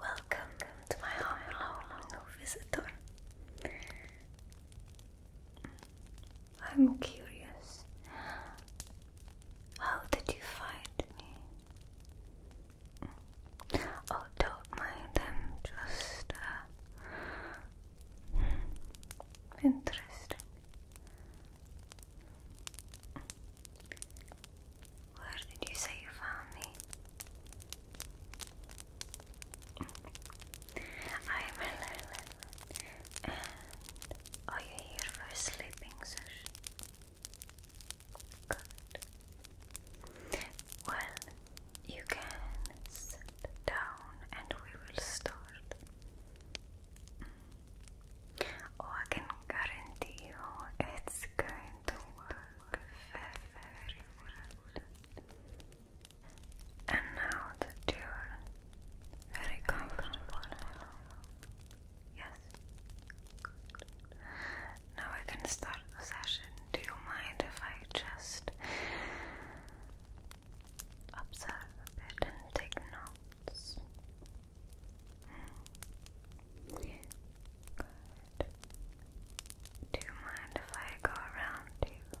Welcome to my home, hello, visitor. I'm curious. How did you find me? Oh, don't mind them, just uh, interesting. Where did you say you found me? I'm Eleven, and are oh, you here for a sleeping session? Good. Well, you can sit down and we will start. Mm. Oh, I can guarantee you it's going to work very, very And now that you're very comfortable, yes now I can start the session. Do you mind if I just observe a and take notes? Hmm. Good. Do you mind if I go around you? Good.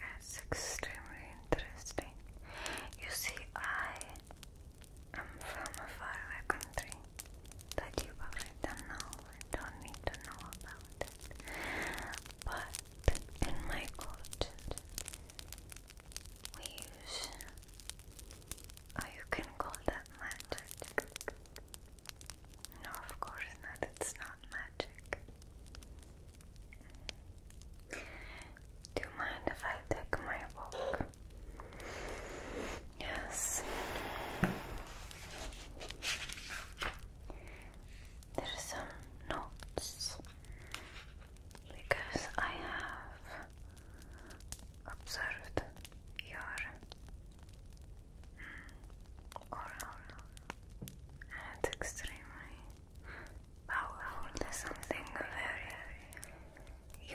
That's extremely interesting. You see, I am from a faraway country that you probably don't know and don't need to know about it. But in my cotton weaves. Oh, you can call that magic. No, of course not. It's not magic. Do you mind if I take my walk? Yes. There are some notes because I have observed your oral hmm, and extremely powerful. something very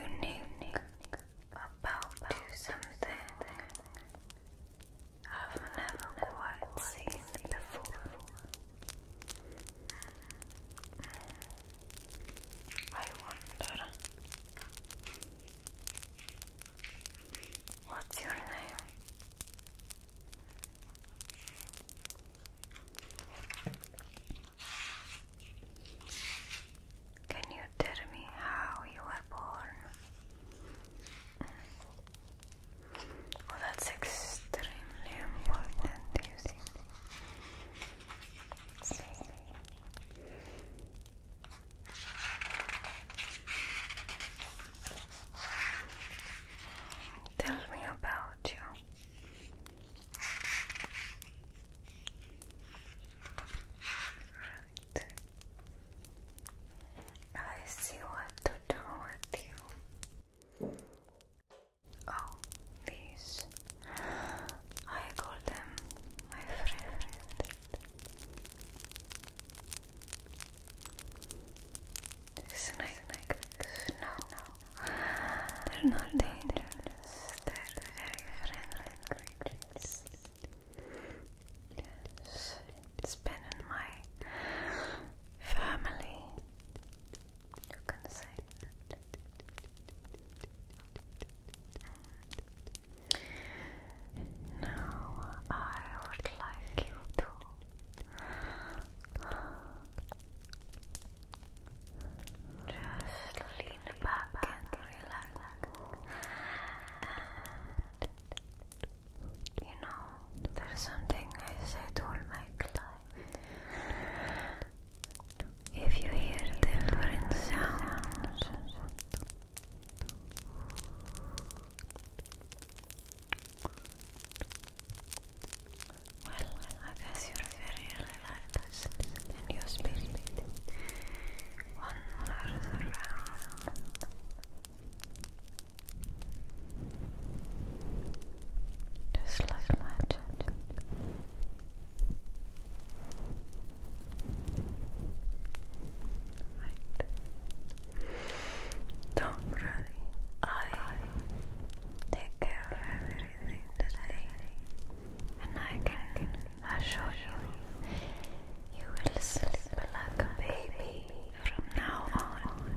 unique about something I've never quite seen before. I wonder. What's your name? Can you tell me how you were born? Well, that's extremely important, Tell me about you. Right. I see what gentle you. Oh, these. I call them my favorite. Snake, snake, They're not dangerous. They're friendly creatures it's been in my family. Now I would like you to just lean back and relax you know, there's something I say all my clients. If you hear different sounds, well, I guess you're very relaxed and your spirit wanders around. Just like Don't worry. I take care of everything today. And I can assure you, you will sleep like a baby from now on.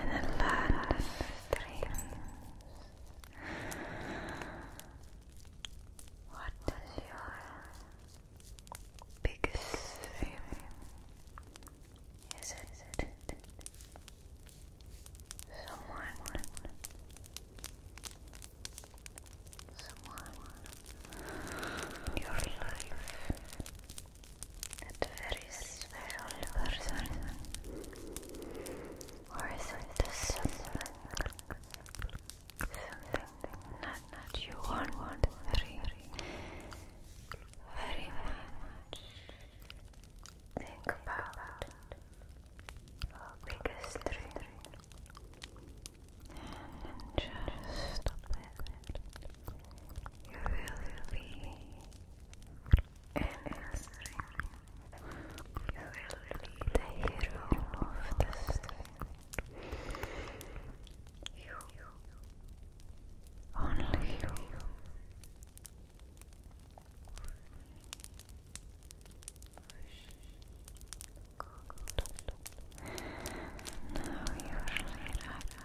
and a lot of What is your biggest dream? Is it someone? Someone, your life, that very special person, or is it something, something you want, want very, very much? Think about your just stop it. You will be is really the hero of the You, only you. Now you are relaxed.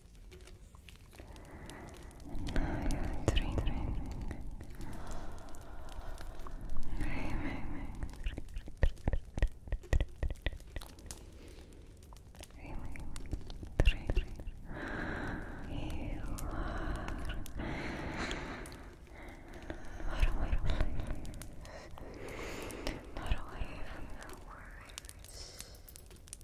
Now you're dreaming. Dreaming. Dreaming. Dreaming. You are not away from not away from the words.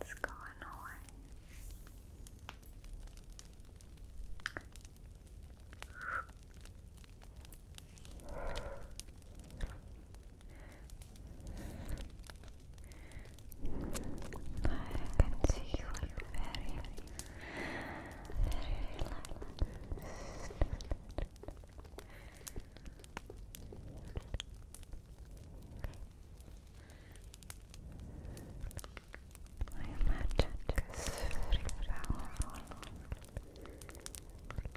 It's gone on. I can see you are very, very relaxed. My magic is very powerful. Relax.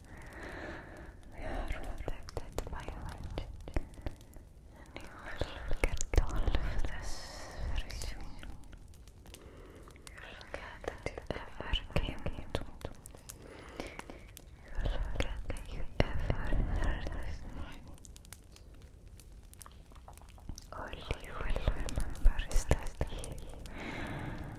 We are protected by light, you will get all You will forget that you ever came into You will forget that you ever heard this you